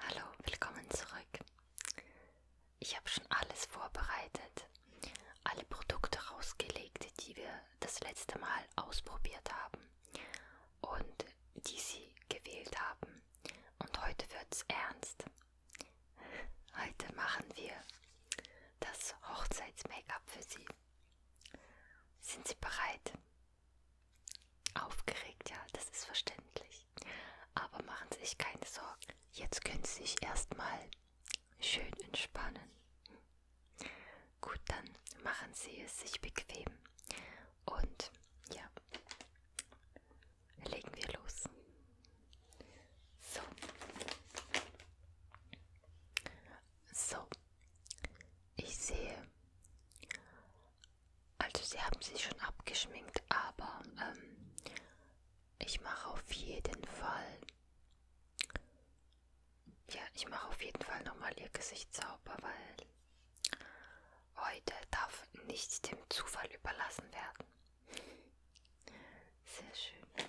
Hallo, willkommen zurück. Ich habe schon alles vorbereitet, alle Produkte rausgelegt, die wir das letzte Mal ausprobiert haben und die Sie gewählt haben. Und heute wird's ernst. Heute machen wir das Hochzeits-Make-up für Sie. Sind Sie bereit? Aufgeregt, ja, das ist verständlich. Aber machen Sie sich keine Sorgen. Jetzt können Sie sich erstmal schön entspannen. Gut, dann machen Sie es sich bequem. Und ja, legen wir los. So. So. Ich sehe, also sie haben sich schon abgeschminkt, aber ähm, ich mache auf jeden Fall. Ja, ich mache auf jeden Fall nochmal ihr Gesicht sauber, weil heute darf nichts dem Zufall überlassen werden. Sehr schön.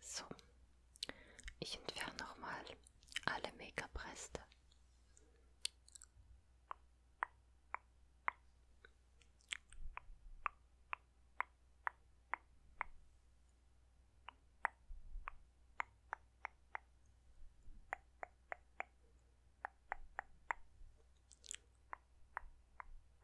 So, ich entferne nochmal alle Make-up-Reste.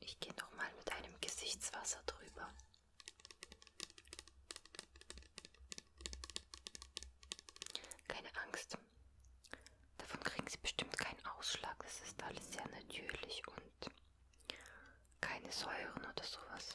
Ich gehe nochmal mit einem Gesichtswasser drüber. Keine Angst. Davon kriegen Sie bestimmt keinen Ausschlag. Das ist alles sehr natürlich und keine Säuren oder sowas.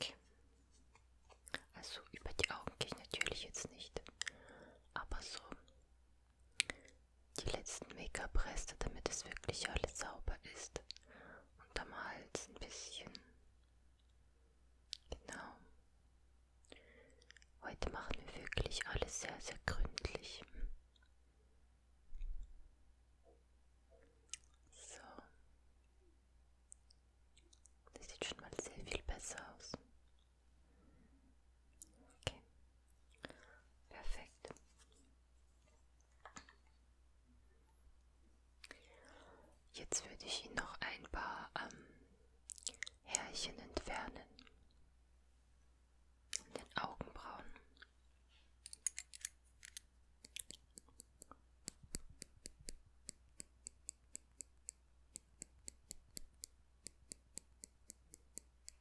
Okay. Also über die Augen gehe ich natürlich jetzt nicht, aber so die letzten Make-up-Reste, damit es wirklich alles sauber ist. Und am Hals ein bisschen. Genau. Heute machen wir wirklich alles sehr, sehr gründlich. So. Das sieht schon mal sehr viel besser aus. Okay. Perfekt. Jetzt würde ich Ihnen noch ein paar ähm, Härchen entfernen. An den Augenbrauen.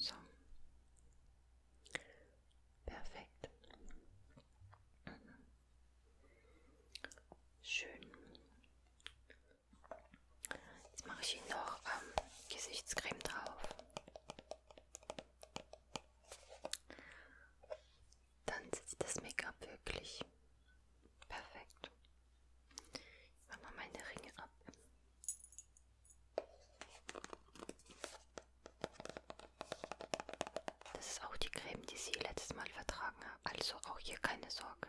So. Perfekt. Schön. Jetzt mache ich Ihnen noch ähm, Gesichtscreme drauf dann sitzt das Make-up wirklich perfekt. Ich mache mal meine Ringe ab. Das ist auch die Creme, die sie letztes Mal vertragen habe. Also auch hier keine Sorge.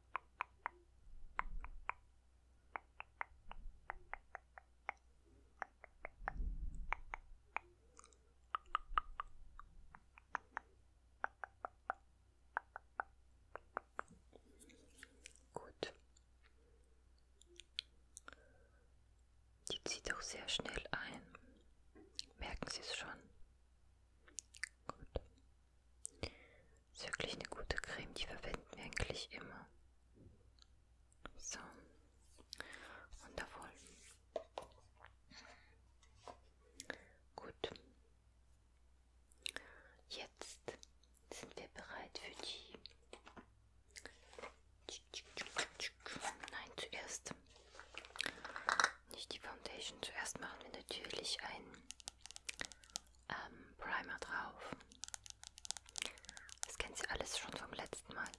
Gut. Die zieht auch sehr schnell ein. Merken Sie es schon? Gut. Ist wirklich eine gute Creme, die verwenden wir eigentlich immer. So. Wundervoll. Gut. Jetzt sind wir bereit für die. Nein, zuerst. Nicht die Foundation. Zuerst machen wir natürlich ein ähm, Primer drauf. Das kennt sie alles schon vom letzten Mal.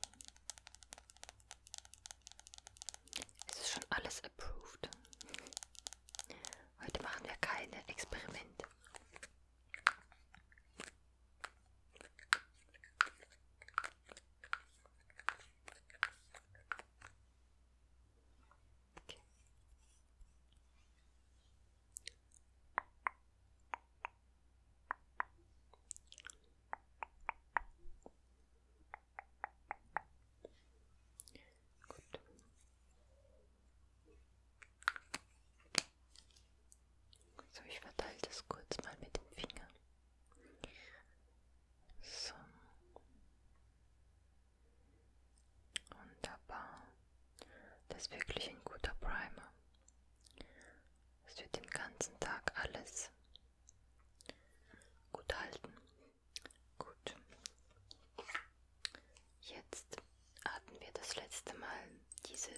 Es ist schon alles approved. Heute machen wir keine Experimente. Okay. Gut. So, ich verteile das kurz mal mit dem Finger. So. Wunderbar. Das ist wirklich ein guter Primer. Es wird den ganzen Tag alles gut halten. Gut. Jetzt hatten wir das letzte Mal diese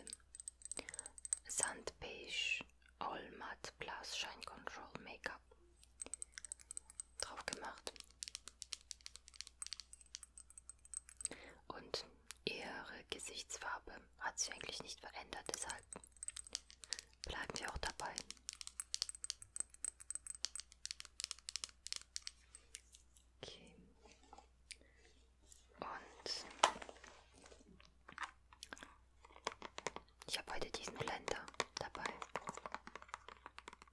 Sandbeige All Matte Plus Shine Control Make-up drauf gemacht. Und ihre Gesichtsfarbe hat sich eigentlich nicht verändert, deshalb bleiben wir auch dabei. Okay. Und ich habe heute diesen Blender dabei.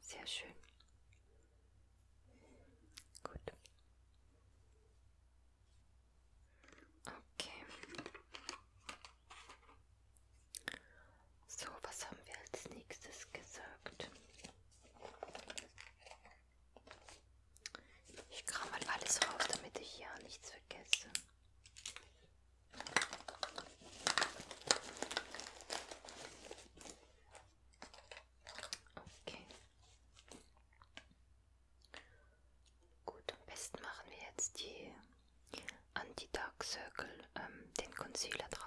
Sehr schön. Gut. Okay. So, was haben wir als nächstes gesagt? Ich kram mal alles raus, damit ich ja nichts vergesse. Okay. Gut, am besten machen wir jetzt die Anti-Dark Circle, ähm, den Concealer drauf.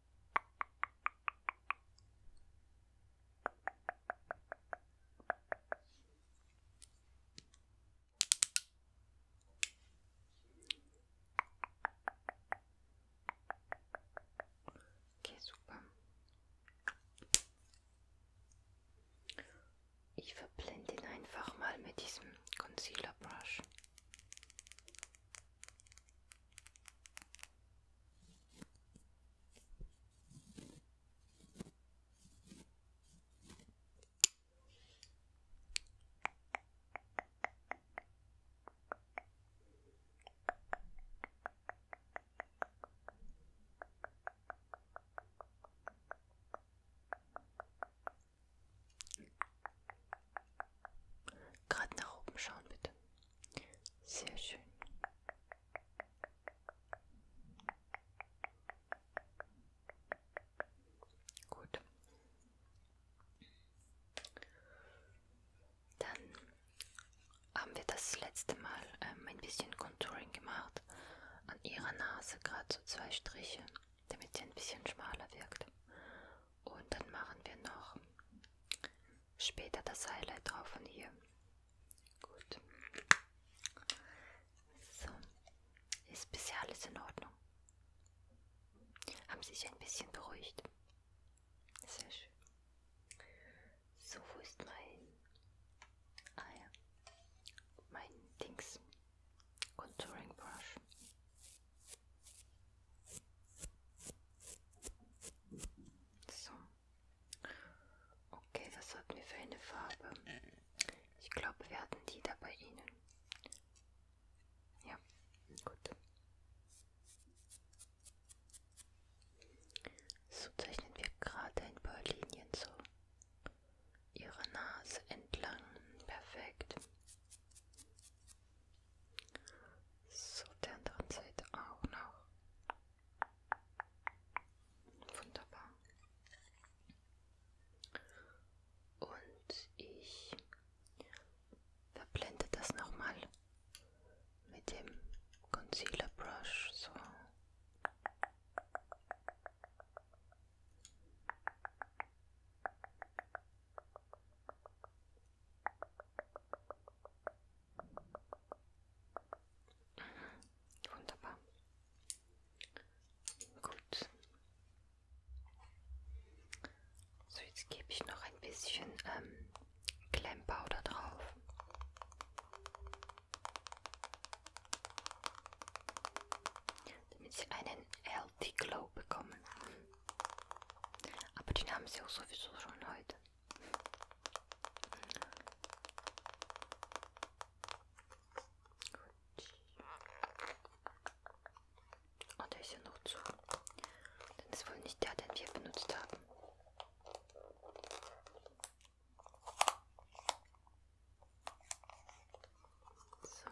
Okay, super. Ich verblende ihn einfach mal mit diesem Concealer Brush. Gerade nach oben schauen, bitte. Sehr schön. Gut. Dann haben wir das letzte Mal ähm, ein bisschen Contouring gemacht. An ihrer Nase gerade so zwei Striche, damit sie ein bisschen schmaler wirkt. Und dann machen wir noch später das Highlight drauf von hier. Gut. So. Ist bisher alles in Ordnung. Haben Sie sich ein bisschen beruhigt? Sehr schön. So, wo ist mein... Ah ja. Mein Dings. Contouring Brush. So. Okay, was hatten wir für eine Farbe? Ich glaube, wir hatten die da bei Ihnen. Ja, gut. So zeichnen wir gerade ein paar Linien so. Ihre Nase entlang. Perfekt. So, der anderen Seite auch noch. Wunderbar. Und ich verblende das nochmal mit dem Concealer Brush. So. Wunderbar. Gut. So, jetzt gebe ich noch ein bisschen ähm, Klemmpowder drauf. Damit sie einen Healthy Glow bekommen. Aber den haben sie auch sowieso schon heute. Oh, der ist ja noch zu. Das ist wohl nicht der, den wir benutzt haben. So.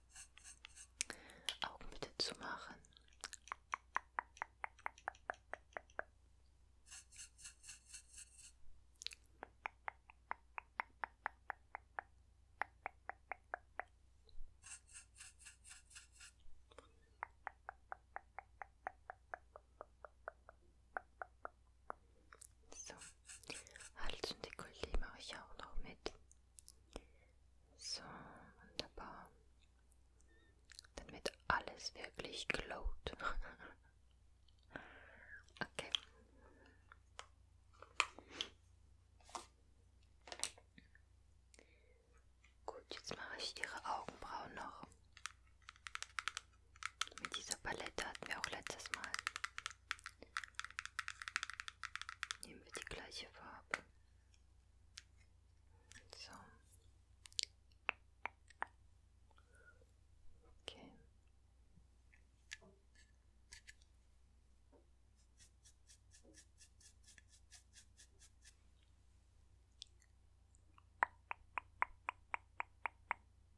Augen bitte zu machen. So, Hals und Dekolleté mache ich auch noch mit. So, wunderbar. Damit alles wirklich glowt. okay. Gut, jetzt mache ich ihre Augenbrauen noch. Mit dieser Palette hatten wir auch letztes Mal. Nehmen wir die gleiche Farbe. So. Okay.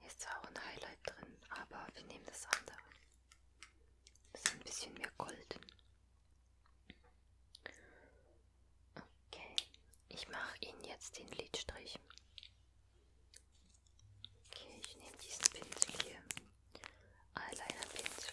Hier ist zwar auch ein Highlight drin, aber wir nehmen das andere. Das ist ein bisschen mehr golden. Okay, ich mache Ihnen jetzt den Lidstrich. Okay, ich nehme diesen Pinsel hier. Eyeliner-Pinsel.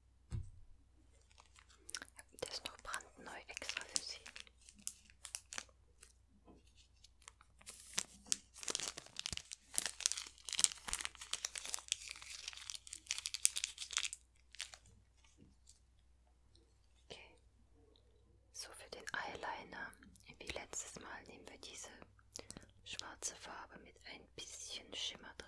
Der ist noch brandneu extra für Sie. Okay. So für den Eyeliner. Wie letztes Mal nehmen wir diese schwarze Farbe mit ein bisschen Schimmer drin.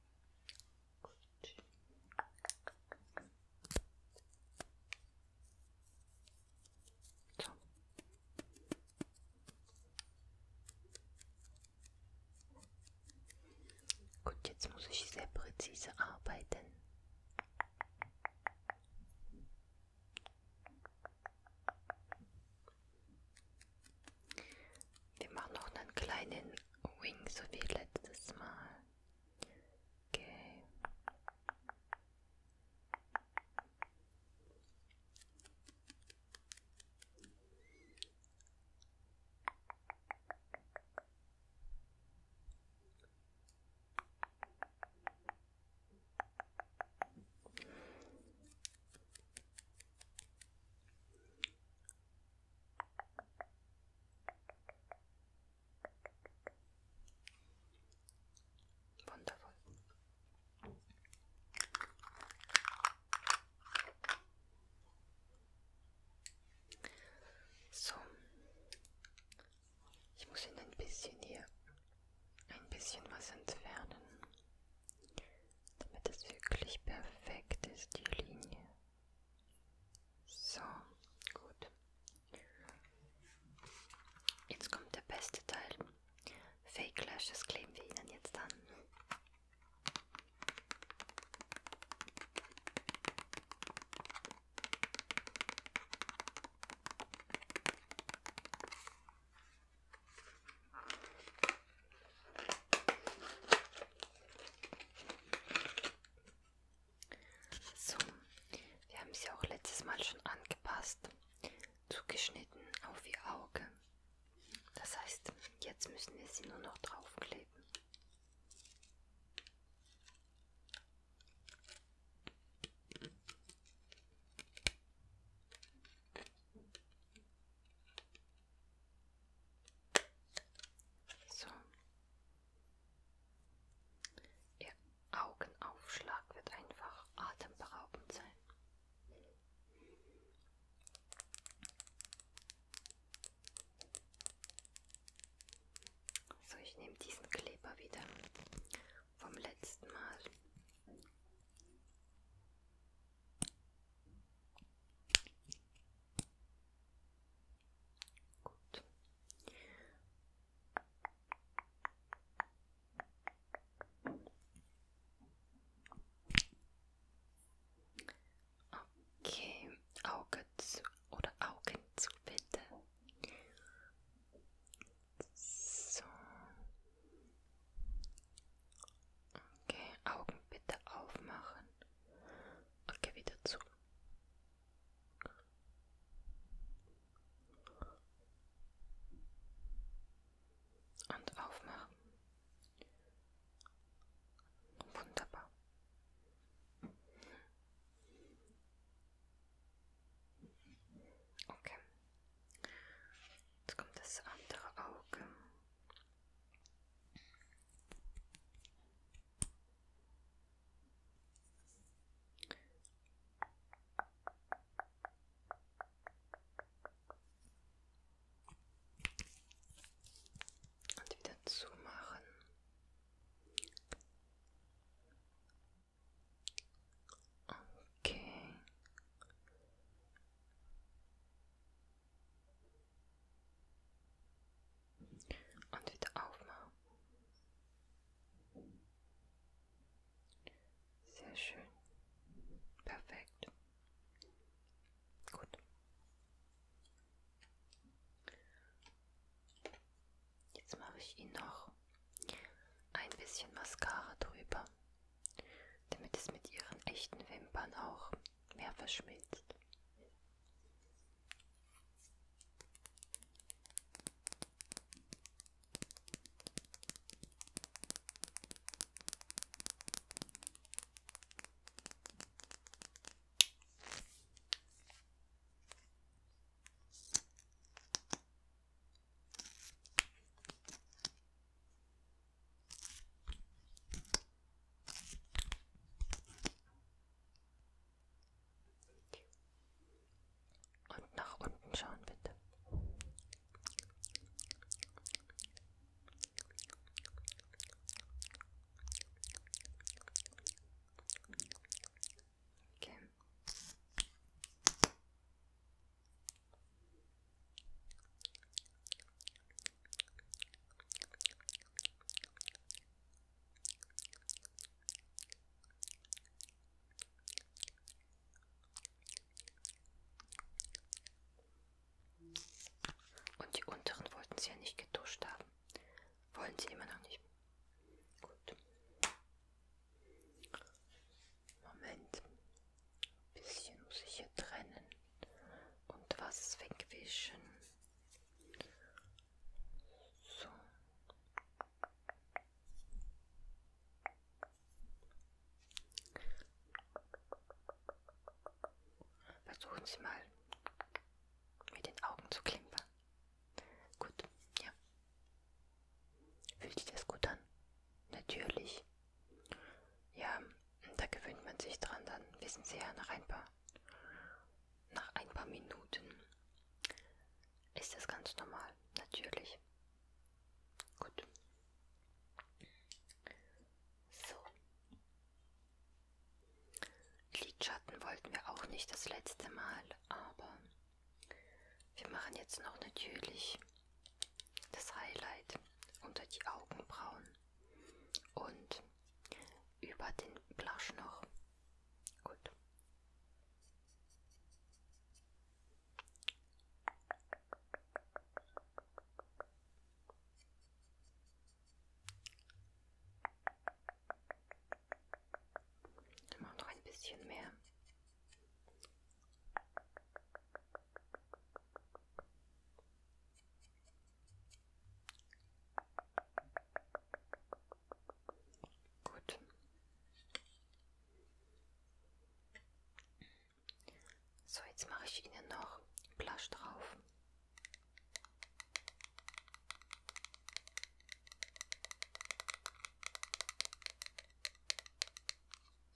Gut. So. Gut, jetzt muss ich sehr präzise arbeiten. Wir machen noch einen kleinen Wing, so wie letztes Mal. Okay. Wundervoll. So, ich muss ihn ein bisschen hier ein bisschen was entfernen damit es wirklich perfekt ist, die Linie. So, gut. Jetzt kommt der beste Teil. Fake Lashes kleben wir Ihnen jetzt an. So, wir haben sie auch letztes Mal schon angepasst, zugeschnitten auf ihr Auge. Das heißt, jetzt müssen wir sie nur noch draufkleben. So. Ihr Augenaufschlag wird einfach atemberaubend sein. So, ich nehme diesen Kleber wieder vom letzten Mal. Gut. Okay, Auge zu oder Augen zu bitte. So. Okay, Augen bitte aufmachen. Okay, wieder zu. Und aufmachen. Wunderbar. Okay. Jetzt kommt das andere Auge. Und wieder zumachen. Okay. Und wieder aufmachen. Sehr schön. Perfekt. Gut. Jetzt mache ich Ihnen noch ein bisschen Mascara drüber damit es mit ihren echten Wimpern auch mehr verschmilzt. Und nach unten schauen, bitte. Okay. Und die unteren wollten sie ja nicht getuscht haben. Wollen sie immer noch nicht. Gut. Moment. Ein bisschen muss ich hier trennen und was wegwischen. So. Versuchen Sie mal mit den Augen zu klimpern. Gut, ja. Fühlt sich das gut an? Natürlich. Ja, da gewöhnt man sich dran, dann wissen Sie ja nach ein paar, nach ein paar Minuten ist das ganz normal, natürlich. Gut. So. Lidschatten wollten wir auch nicht das letzte Mal, aber wir machen jetzt noch natürlich das Highlight unter die Augenbrauen und über den Blush noch. Gut. Immer noch ein bisschen mehr. Gut. So, jetzt mache ich Ihnen noch Blush drauf.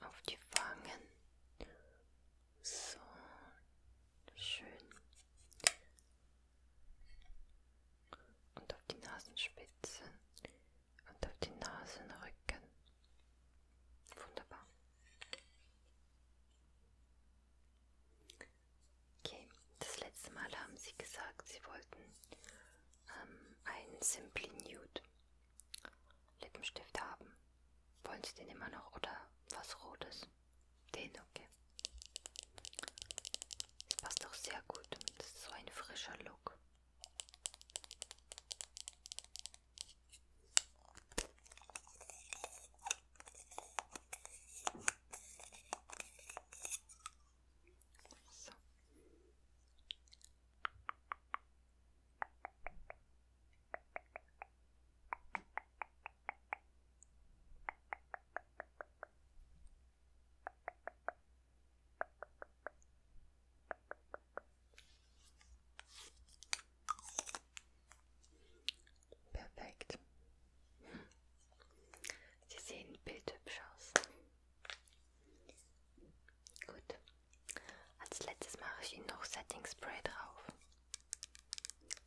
auf die Wangen. So schön. Und auf die Nasenspitze und auf die Nasenrücken. Wunderbar. Okay, das letzte Mal haben Sie gesagt, Sie wollten ähm, einen Simply Nude. Lippenstift haben. Wollen Sie den immer noch oder was Rotes? Den, okay. Das passt doch sehr gut. Das ist so ein frischer Look. ça. Perfect. c'est une petite chance. Gut. Als letztes mache ich Ihnen noch Setting Spray drauf.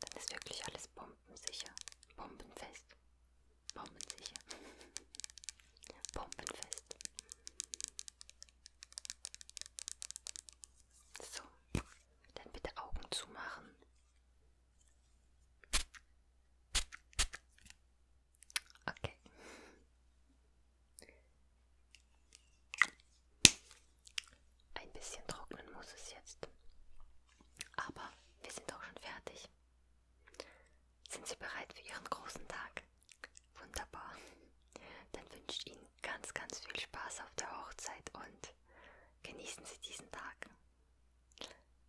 Dann ist wirklich alles bombensicher. Bombenfest. Bombensicher. Bombenfest. So, dann bitte Augen zumachen. Okay. Ein bisschen trocknen muss es jetzt. Aber wir sind auch schon fertig. Sind Sie bereit für Ihren großen Tag? Wunderbar. Dann wünsche ich Ihnen ganz, ganz viel Spaß auf der Hochzeit und genießen Sie diesen Tag.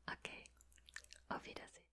Okay. Auf Wiedersehen.